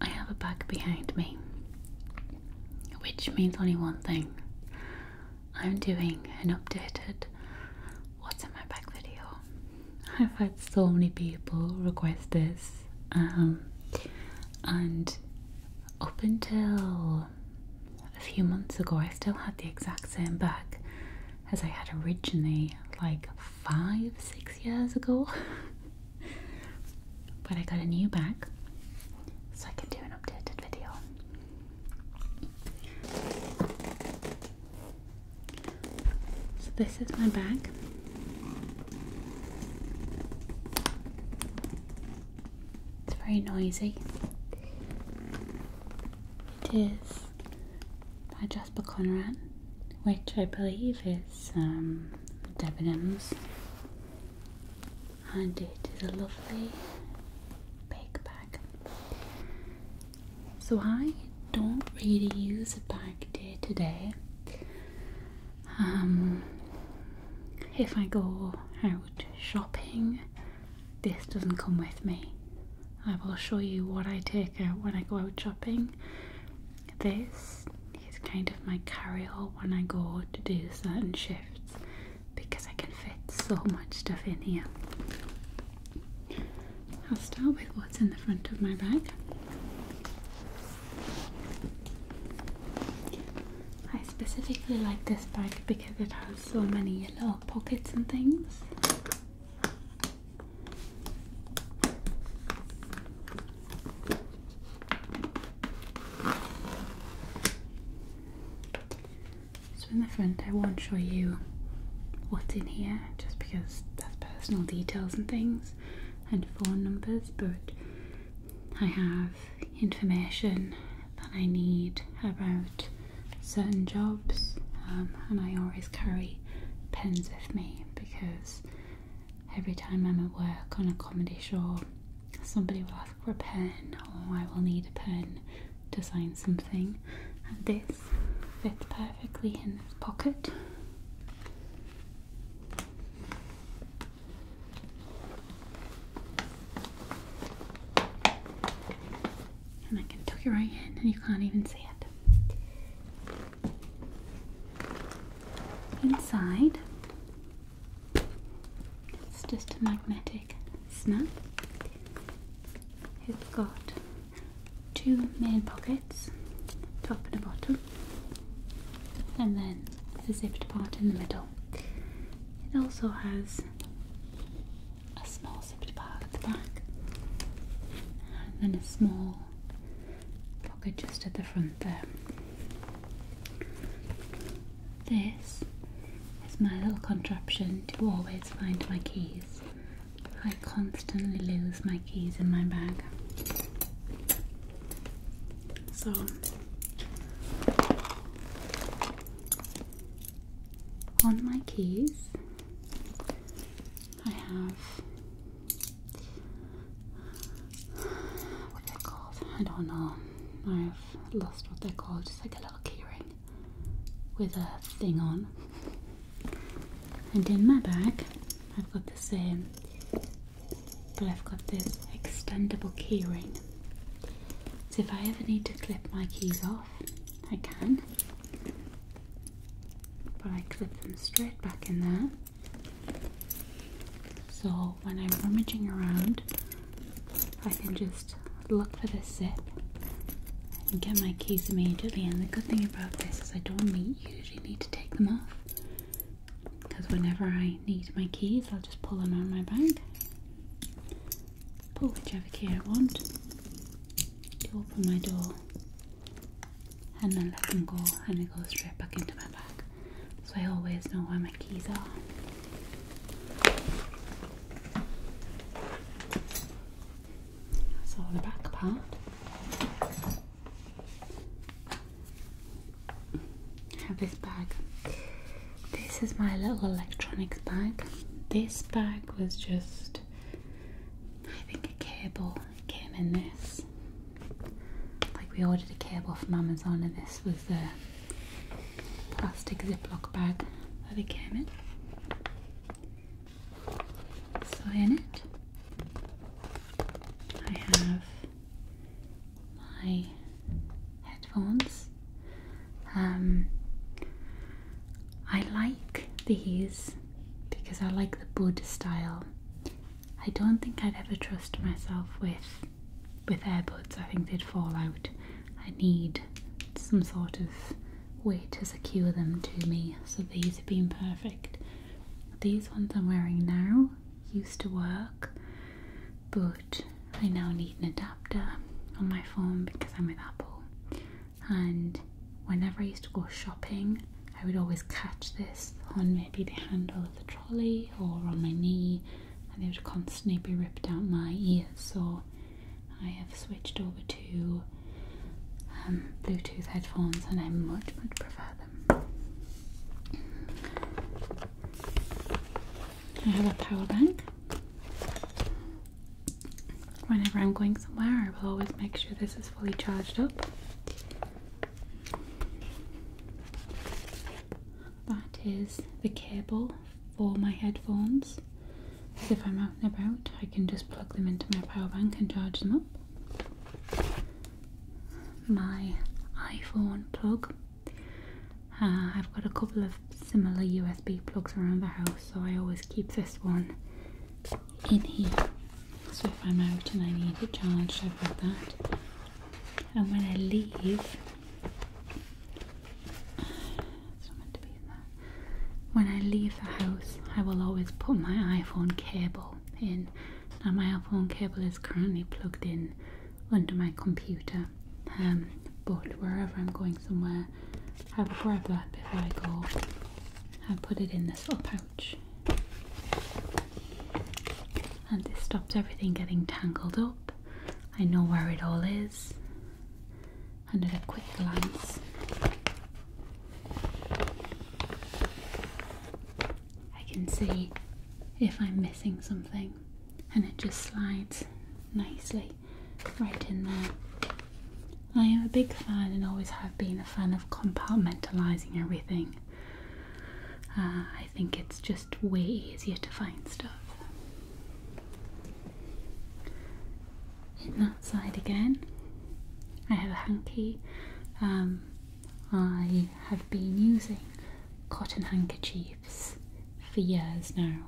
I have a bag behind me, which means only one thing. I'm doing an updated What's in my bag video. I've had so many people request this, um, and up until a few months ago, I still had the exact same bag as I had originally, like five, six years ago. but I got a new bag so I can do an updated video. So, this is my bag. It's very noisy. It is by Jasper Conrad, which I believe is um, Debenhams, and it is a lovely big bag. So I don't really use a bag day to day. Um, if I go out shopping, this doesn't come with me. I will show you what I take out when I go out shopping. This is kind of my carry-all when I go to do certain shifts because I can fit so much stuff in here. I'll start with what's in the front of my bag. I specifically like this bag because it has so many little pockets and things. So in the front I won't show you what's in here just because that's personal details and things and phone numbers but I have information that I need about certain jobs, um, and I always carry pens with me because every time I'm at work on a comedy show, somebody will ask for a pen, or I will need a pen to sign something, and this fits perfectly in this pocket. And I can tuck your right hand, and you can't even see it. Inside, it's just a magnetic snap. It's got two main pockets, top and bottom and then the zipped part in the middle. It also has a small zipped part at the back and then a small pocket just at the front there. This is my little contraption to always find my keys. I constantly lose my keys in my bag. So on my keys, I have what they're called. I don't know. I've lost what they're called. Just like a little keyring with a thing on. And in my bag, I've got the same but I've got this extendable keyring. So if I ever need to clip my keys off, I can. But I clip them straight back in there. So when I'm rummaging around, I can just look for the zip and get my keys immediately. And the good thing about this is I don't need, usually need to take them off because whenever I need my keys, I'll just pull them out of my bag, pull whichever key I want, open my door, and then let them go, and they go straight back into my bag. So I always know where my keys are. That's all the back part have this bag. This is my little electronics bag. This bag was just, I think, a cable came in this. Like, we ordered a cable from Amazon, and this was the plastic Ziploc bag that it came in. So, in it, I have my headphones. Um, I like these because I like the Bud style. I don't think I'd ever trust myself with with earbuds. I think they'd fall out. I need some sort of way to secure them to me. So these have been perfect. These ones I'm wearing now used to work, but I now need an adapter on my phone because I'm with Apple. And whenever I used to go shopping, I would always catch this on maybe the handle of the trolley or on my knee, and it would constantly be ripped out my ears. So I have switched over to um, Bluetooth headphones, and I am much, much better. I have a power bank. Whenever I'm going somewhere, I will always make sure this is fully charged up. That is the cable for my headphones. if I'm out and about, I can just plug them into my power bank and charge them up. My iPhone plug uh, I've got a couple of similar USB plugs around the house, so I always keep this one in here. So if I'm out and I need it charged, I've got that. And when I leave, it's to be When I leave the house, I will always put my iPhone cable in. Now my iPhone cable is currently plugged in under my computer. Um, but wherever I'm going somewhere, I will grab that before I go. I put it in this little pouch, and this stops everything getting tangled up. I know where it all is, under a quick glance. I can see if I'm missing something, and it just slides nicely right in there. I am a big fan and always have been a fan of compartmentalizing everything. Uh, I think it's just way easier to find stuff. In that side again, I have a hanky. Um, I have been using cotton handkerchief for years now.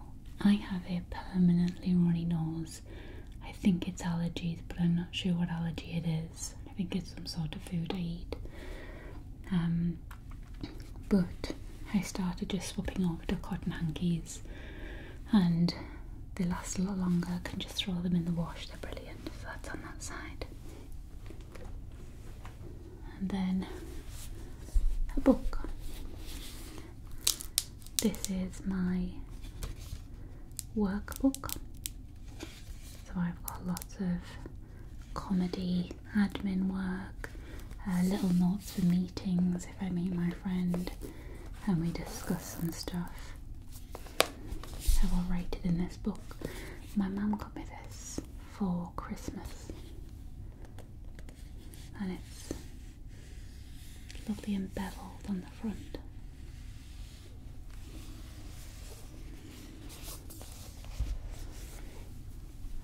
I have a permanently runny nose. I think it's allergies, but I'm not sure what allergy it is. I think it's some sort of food I eat. Um, but I started just swapping over to cotton hankies, and they last a lot longer. I can just throw them in the wash. They're brilliant. So that's on that side and then a book. This is my workbook. So I've got lots of comedy, admin work, uh, little notes for meetings if I meet my friend and we discuss some stuff. I will write it in this book. My mum got me this for Christmas. And it's lovely embeveled on the front.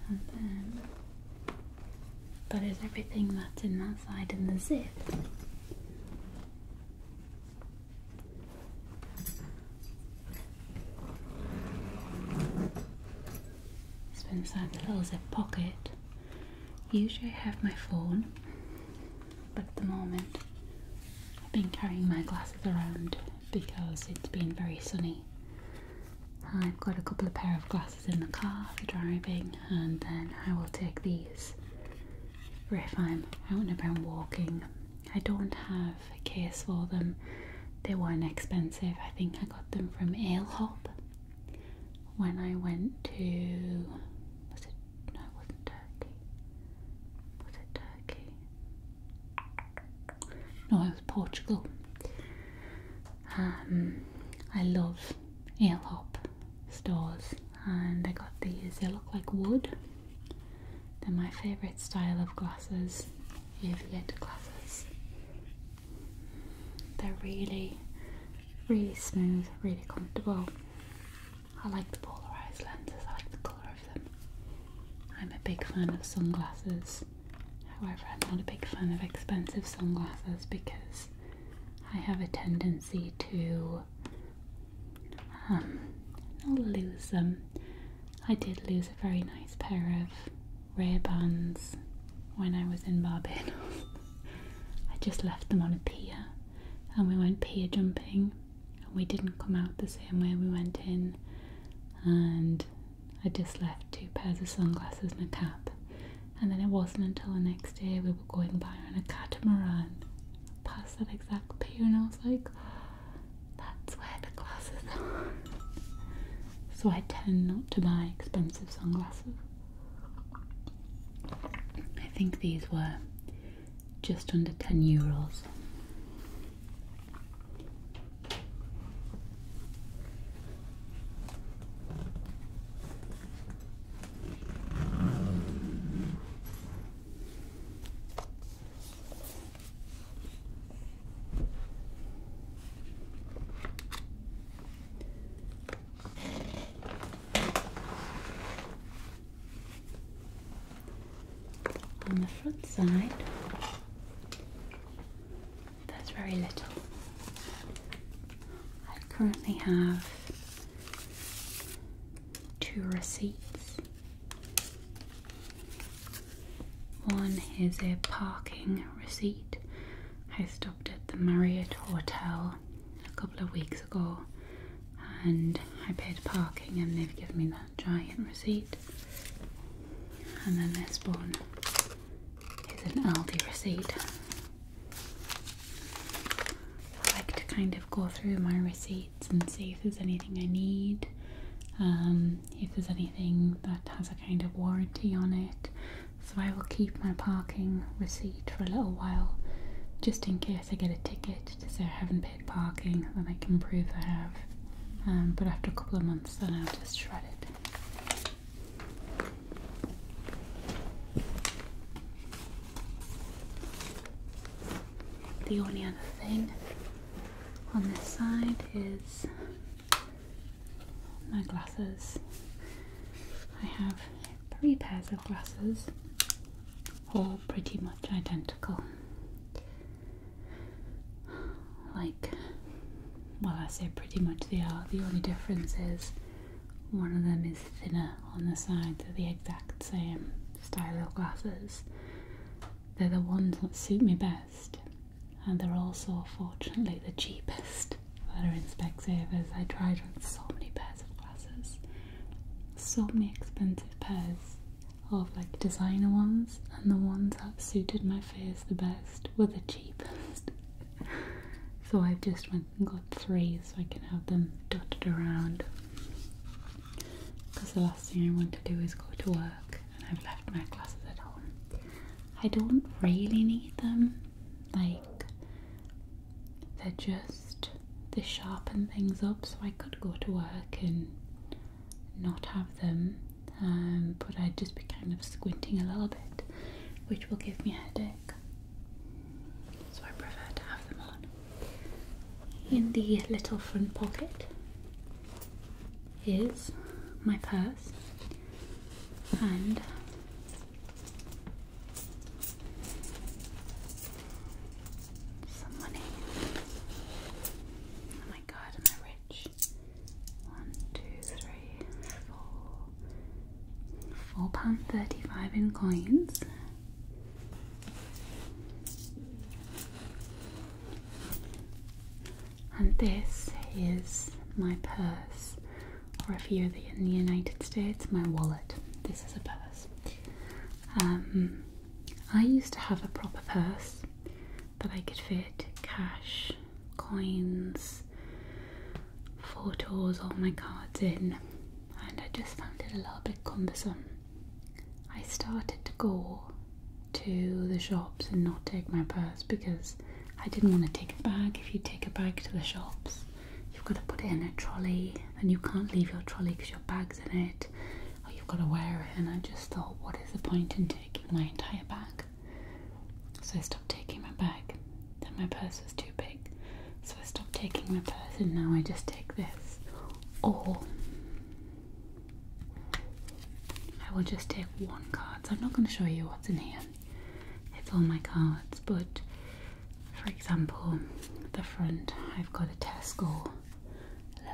And then that is everything that's in that side in the zip. It's been inside the little zip pocket. Usually I have my phone, but at the moment I've been carrying my glasses around because it's been very sunny. I've got a couple of pair of glasses in the car for driving and then I will take these for if I'm out and about walking. I don't have a case for them. They weren't expensive. I think I got them from Ale Hop when I went to. Was it? No, it wasn't Turkey. Was it Turkey? No, it was Portugal. Um, I love Ale Hop stores, and I got these. They look like wood. They're my favourite style of glasses with lit classes. They're really, really smooth, really comfortable. I like the polarized lenses, I like the colour of them. I'm a big fan of sunglasses. However, I'm not a big fan of expensive sunglasses because I have a tendency to um, lose them. I did lose a very nice pair of rear bands when I was in Barbados. I just left them on a pier and we went pier jumping and we didn't come out the same way we went in and I just left two pairs of sunglasses and a cap and then it wasn't until the next day we were going by on a catamaran past that exact pier and I was like that's where the glasses are. so I tend not to buy expensive sunglasses. I think these were just under 10 euros. On the front side, there's very little. I currently have two receipts one is a parking receipt. I stopped at the Marriott Hotel a couple of weeks ago and I paid parking and they've given me that giant receipt. And then this one is an Aldi receipt. I like to kind of go through my receipts and see if there's anything I need. Um, if there's anything that has a kind of warranty on it. So I will keep my parking receipt for a little while just in case I get a ticket to say I haven't paid parking, then I can prove I have. Um, but after a couple of months, then I'll just shred it. The only other thing on this side is my glasses. I have three pairs of glasses, all pretty much identical. Like, well, I say pretty much they are. The only difference is one of them is thinner on the sides. They're the exact same style of glasses. They're the ones that suit me best and they're also fortunately the cheapest that are in Specsavers. I tried on so many pairs of glasses, so many expensive pairs of like designer ones, and the ones that suited my face the best were the cheapest. so I've just went and got three so I can have them dotted around. Because the last thing I want to do is go to work and I've left my glasses at home. I don't really need them. Like, they're just, they sharpen things up so I could go to work and not have them. Um, but I'd just be kind of squinting a little bit, which will give me a headache. So I prefer to have them on. In the little front pocket is my purse and some money. Oh my god, am I rich? One, two, three, four. Four pound thirty-five in coins. And this is my purse, or if you're in the United States, my wallet. This is a purse. Um, I used to have a proper purse that I could fit cash, coins, photos, all my cards in, and I just found it a little bit cumbersome. I started to go to the shops and not take my purse because I didn't want to take a bag. If you take a bag to the shops, you've got to put it in a trolley and you can't leave your trolley because your bag's in it or you've got to wear it. And I just thought, what is the point in taking my entire bag? So I stopped taking my bag. Then my purse was too big. So I stopped taking my purse and now I just take this. Or I will just take one card. I'm not going to show you what's in here. It's all my cards, but for example, the front I've got a Tesco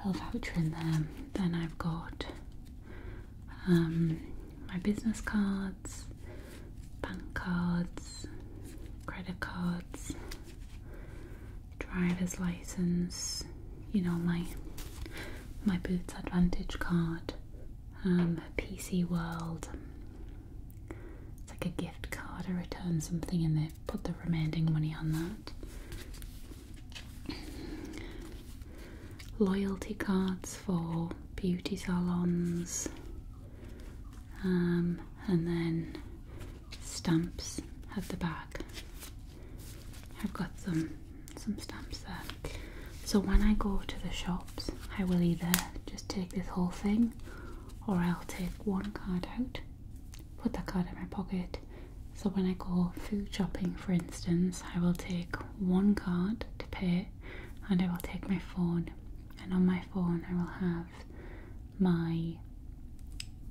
little voucher in there. Then I've got um, my business cards, bank cards, credit cards, driver's license. You know my my Boots Advantage card um, PC World. It's like a gift card. to return something and they put the remaining money on that. Loyalty cards for beauty salons. Um, and then stamps at the back. I've got them some stamps there. So when I go to the shops, I will either just take this whole thing or I'll take one card out, put that card in my pocket. So when I go food shopping, for instance, I will take one card to pay and I will take my phone. And on my phone, I will have my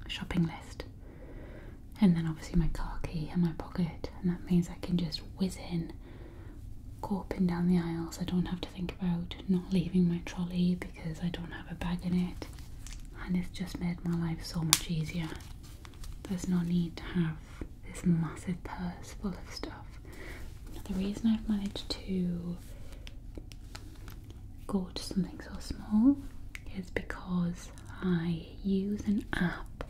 shopping list and then obviously my car key in my pocket and that means I can just whiz in go down the aisles. I don't have to think about not leaving my trolley because I don't have a bag in it, and it's just made my life so much easier. There's no need to have this massive purse full of stuff. The reason I've managed to go to something so small is because I use an app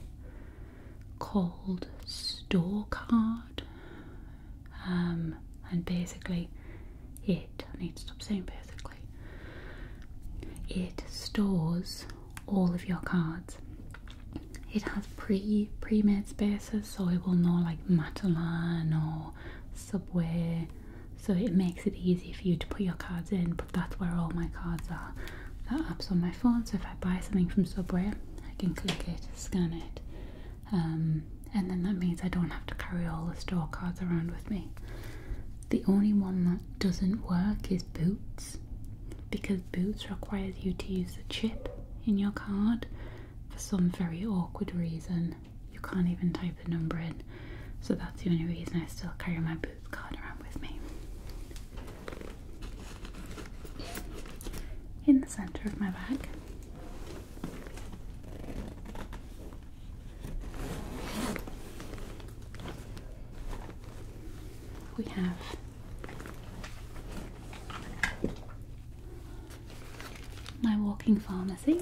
called store card um, and basically it i need to stop saying basically it stores all of your cards it has pre pre-made spaces so it will know like matalan or subway so it makes it easy for you to put your cards in but that's where all my cards are that app's on my so if I buy something from Subway, I can click it, scan it, um, and then that means I don't have to carry all the store cards around with me. The only one that doesn't work is Boots, because Boots requires you to use the chip in your card for some very awkward reason. You can't even type the number in, so that's the only reason I still carry my Boots card around with me in the center of my bag. We have my walking pharmacy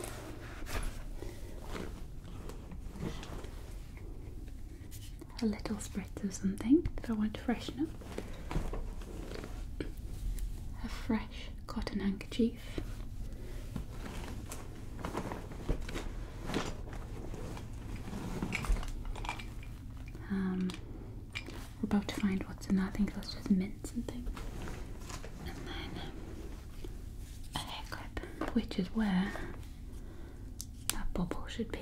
a little spritz or something that I want to freshen up. A fresh cotton handkerchief. Um, we're about to find what's in that. I think that's just mint something. And then a hair clip, which is where that bubble should be.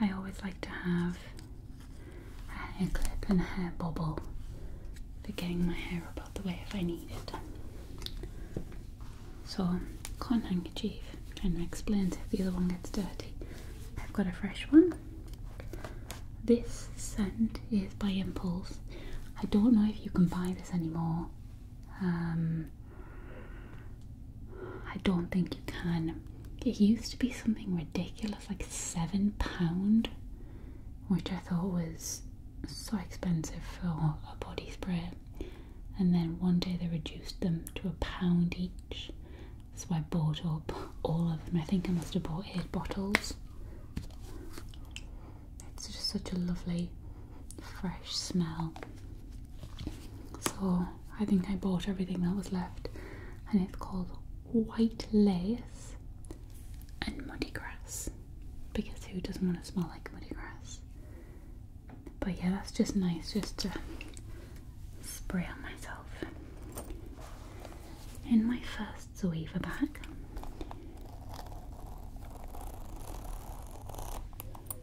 I always like to have a hair clip and a hair bobble for getting my hair up out the way if I need it. So, cotton handkerchief kind of explains if the other one gets dirty. I've got a fresh one. This scent is by Impulse. I don't know if you can buy this anymore. Um, I don't think you can. It used to be something ridiculous, like seven pound, which I thought was so expensive for a body spray. And then one day they reduced them to a pound each, so I bought up all of them. I think I must have bought eight bottles. It's just such a lovely fresh smell. So I think I bought everything that was left, and it's called White Lace and Muddy Grass because who doesn't want to smell like muddy grass? But yeah, that's just nice just to spray on myself. In my first Zoeva bag,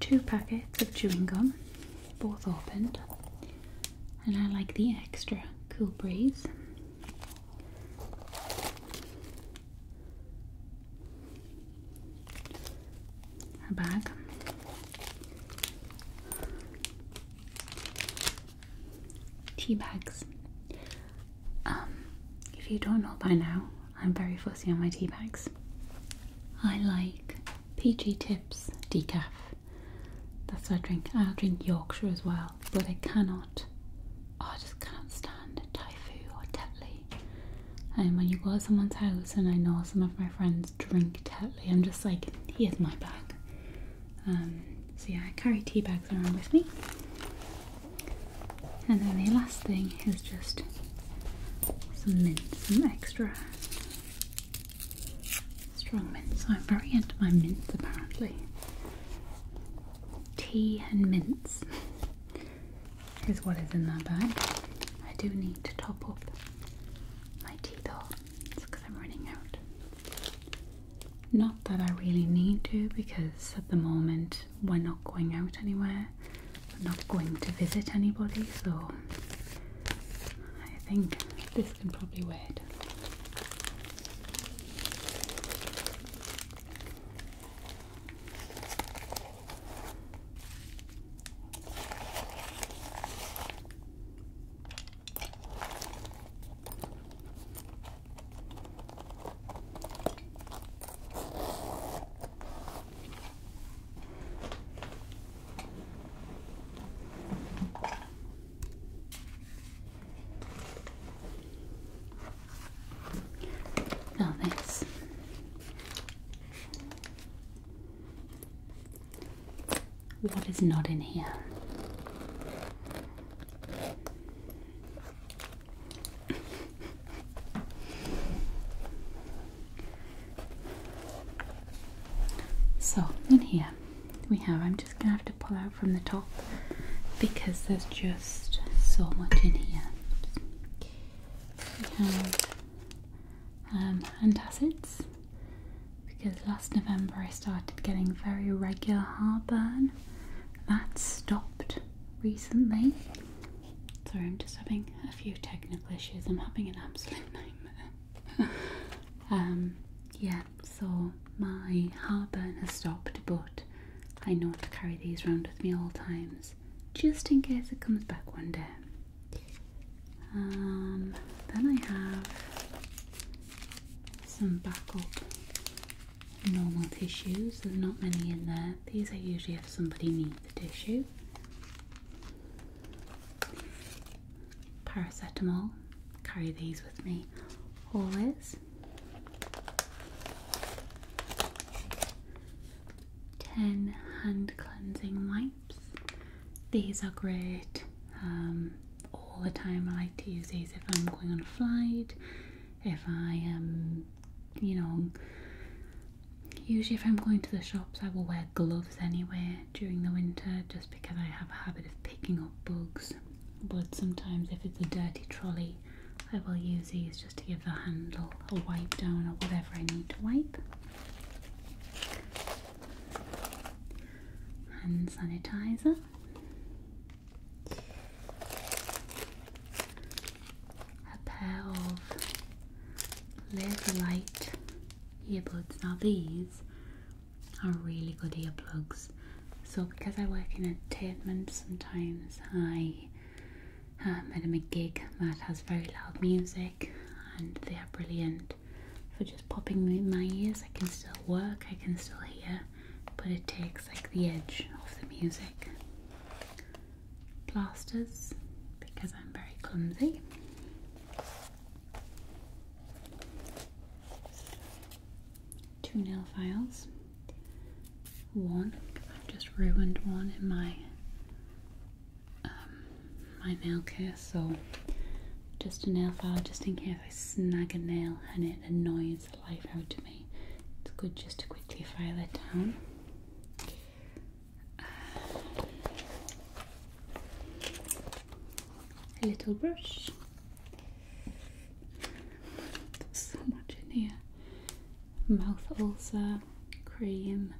two packets of chewing gum, both opened, and I like the extra cool breeze. A bag. Tea bags. Um, if you don't know by now, I'm very fussy on my tea bags. I like PG Tips decaf. That's what I drink. I'll drink Yorkshire as well, but I cannot. Oh, I just can't stand Taifu or oh, Tetley. And when you go to someone's house, and I know some of my friends drink Tetley, I'm just like, here's my bag. Um, so yeah, I carry tea bags around with me. And then the last thing is just some mint, some extra strong mint. So I'm very into my mints apparently. Tea and mints is what is in that bag. I do need to top up my tea though, because I'm running out. Not that I really need to, because at the moment we're not going out anywhere, we're not going to visit anybody, so I think this can probably wait. Now oh, this what is not in here? so in here we have I'm just gonna have to pull out from the top because there's just so much in here. We have um, antacids because last November I started getting very regular heartburn. That stopped recently. Sorry, I'm just having a few technical issues. I'm having an absolute nightmare. um, yeah, so my heartburn has stopped, but I know to carry these around with me all times, just in case it comes back one day. Um, then I have some backup normal tissues. There's not many in there. These are usually if somebody needs the tissue, paracetamol, carry these with me always, 10 hand cleansing wipes, these are great um, all the time. I like to use these if I'm going on a flight, if I am, you know, Usually, if I'm going to the shops, I will wear gloves anyway during the winter just because I have a habit of picking up bugs. But sometimes, if it's a dirty trolley, I will use these just to give the handle a wipe down or whatever I need to wipe. Hand sanitizer a pair of Laserlight earbuds. Now these are really good earplugs. So because I work in entertainment, sometimes I am um, at a gig that has very loud music, and they are brilliant for just popping in my ears. I can still work, I can still hear, but it takes like the edge off the music plasters because I'm very clumsy. Two nail files. One, I've just ruined one in my um, my nail care, so just a nail file just in case I snag a nail and it annoys life out of me. It's good just to quickly file it down a little brush. so much in here. Mouth ulcer, cream.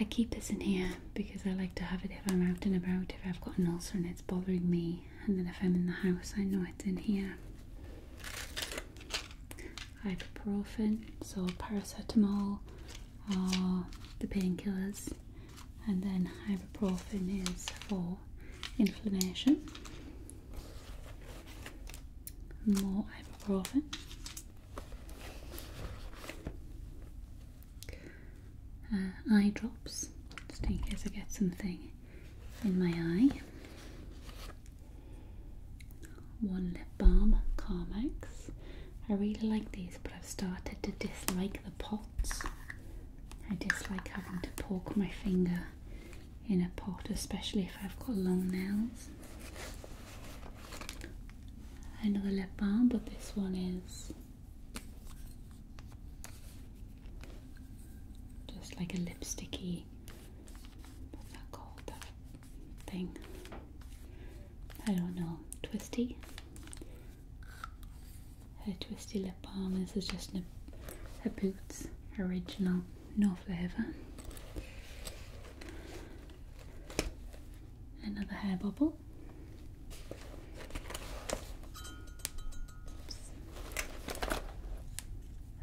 I keep this in here because I like to have it if I'm out and about, if I've got an ulcer and it's bothering me, and then if I'm in the house, I know it's in here ibuprofen, so paracetamol uh, the painkillers, and then ibuprofen is for inflammation. More ibuprofen. Uh, eye drops, just in case I get something in my eye. One lip balm, Carmex. I really like these, but I've started to dislike the pots. I dislike having to poke my finger in a pot, especially if I've got long nails. Another lip balm, but this one is just like a lipsticky. What's that called? thing. I don't know, twisty. Her twisty lip balm. This is just her Boots original, no flavour. Another hair bubble.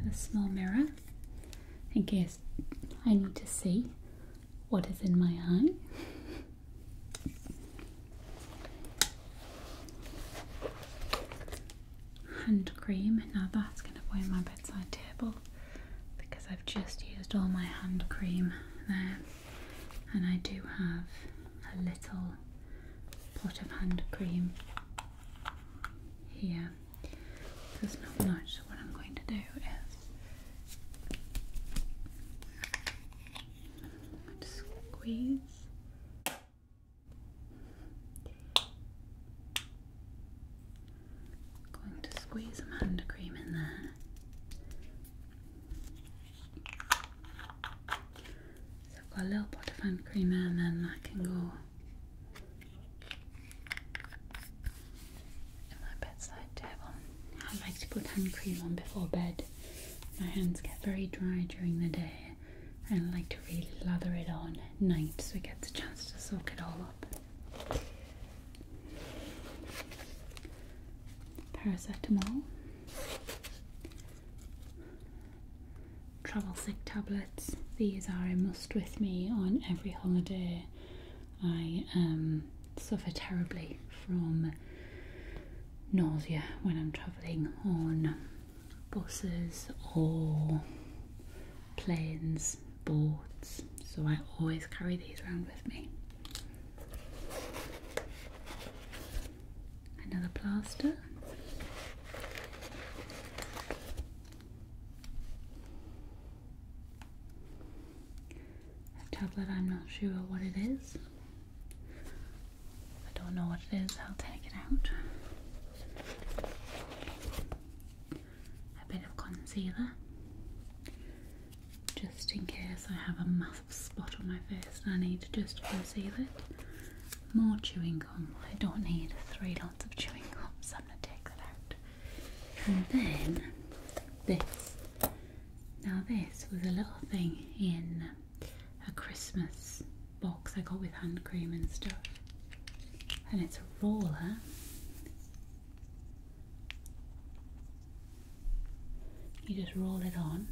A small mirror in case I need to see what is in my eye. Hand cream, now that's going to be in my bedside table because I've just used all my hand cream there, and I do have a little pot of hand cream here there's not much, so what I'm going to do is squeeze. I'm going to squeeze some hand cream in there. So I've got a little pot of hand cream and then I can go my bedside table. I like to put hand cream on before bed. My hands get very dry during the day, and I like to really lather it on at night so it gets a chance to soak it all up. Paracetamol, travel sick tablets. These are a must with me on every holiday. I um, suffer terribly from nausea when I'm travelling on buses or planes, boats, so I always carry these around with me. Another plaster. A tablet, I'm not sure what it is. I don't know what it is, I'll take it out. A bit of concealer, just in case I have a massive spot on my face and I need to just conceal it. More chewing gum. I don't need three lots of chewing gum, so I'm going to take that out and then this. Now, this was a little thing in a Christmas box I got with hand cream and stuff, and it's a roller. You just roll it on,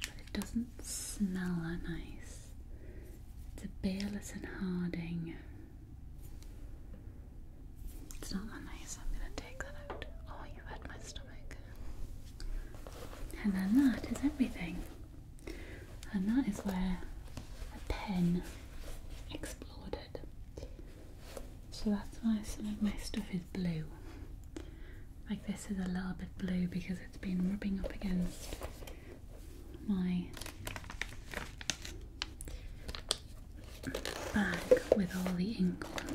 but it doesn't smell that nice. It's a Bayless and Harding it's not that nice. I'm gonna take that out. Oh, you hurt my stomach. And then that is everything. And that is where a pen exploded. So that's why some of my stuff is blue. Like this is a little bit blue because it's been rubbing up against my bag with all the ink on.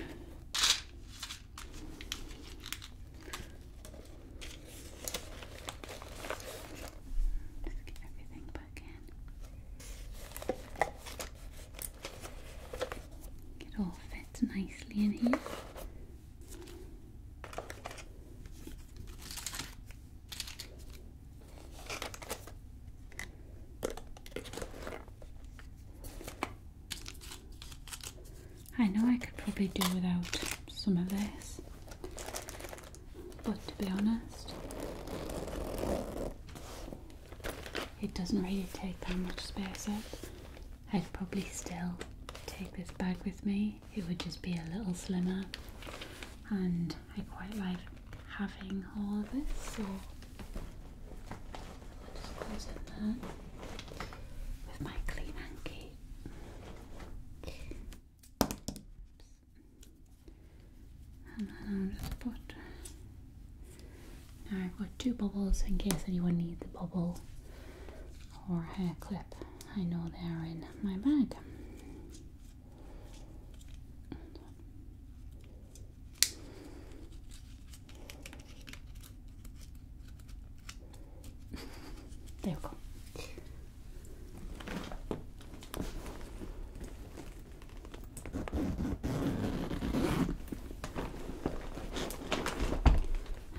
get everything back in. It all fits nicely in here. I know I could probably do without some of this, but to be honest, it doesn't really take that much space I'd probably still take this bag with me it would just be a little slimmer and I quite like having all of it so I'll just close it there with my clean hanky. And then I'll just put I've got two bubbles in case anyone needs a bubble or hair clip. I know they are in my bag there we go.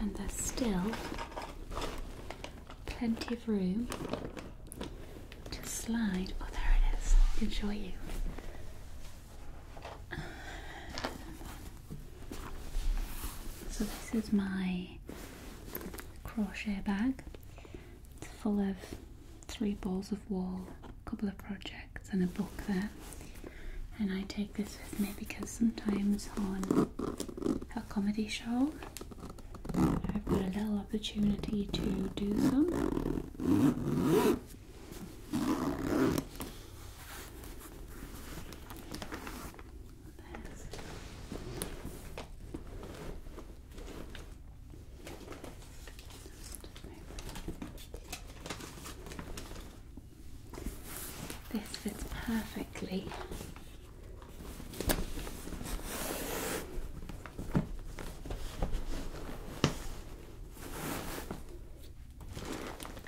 And they're still plenty of room to slide. Oh, there it is. Enjoy you. So this is my crochet bag. It's full of three balls of wool, a couple of projects and a book there. And I take this with me because sometimes on a comedy show I've got a little opportunity to do some. This fits perfectly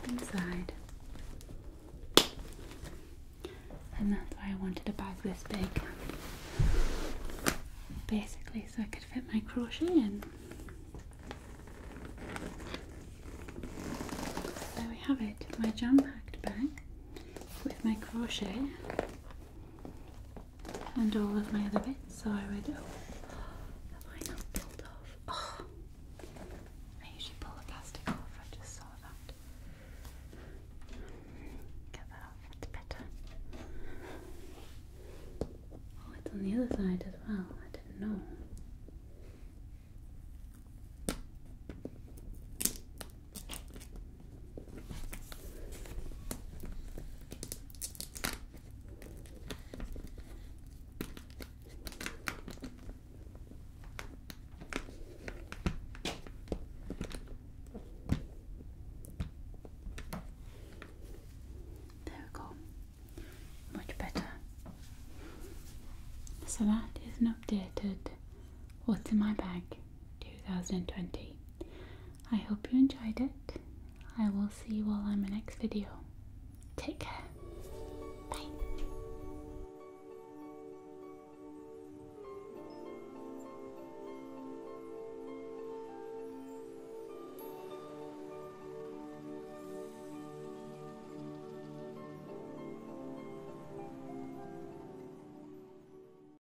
inside. And that's why I wanted a bag this big. Basically, so I could fit my crochet in. There we have it, my jam packed bag with my crochet and all of my other bits are ready. Oh, have I not pulled off? Oh, I usually pull the plastic off. I just saw that. Get that off. It's better. Oh, it's on the other side as well. I didn't know. There we go. Much better. So that is an updated what's in my bag 2020. I hope you enjoyed it. I will see you all on my next video. Take care.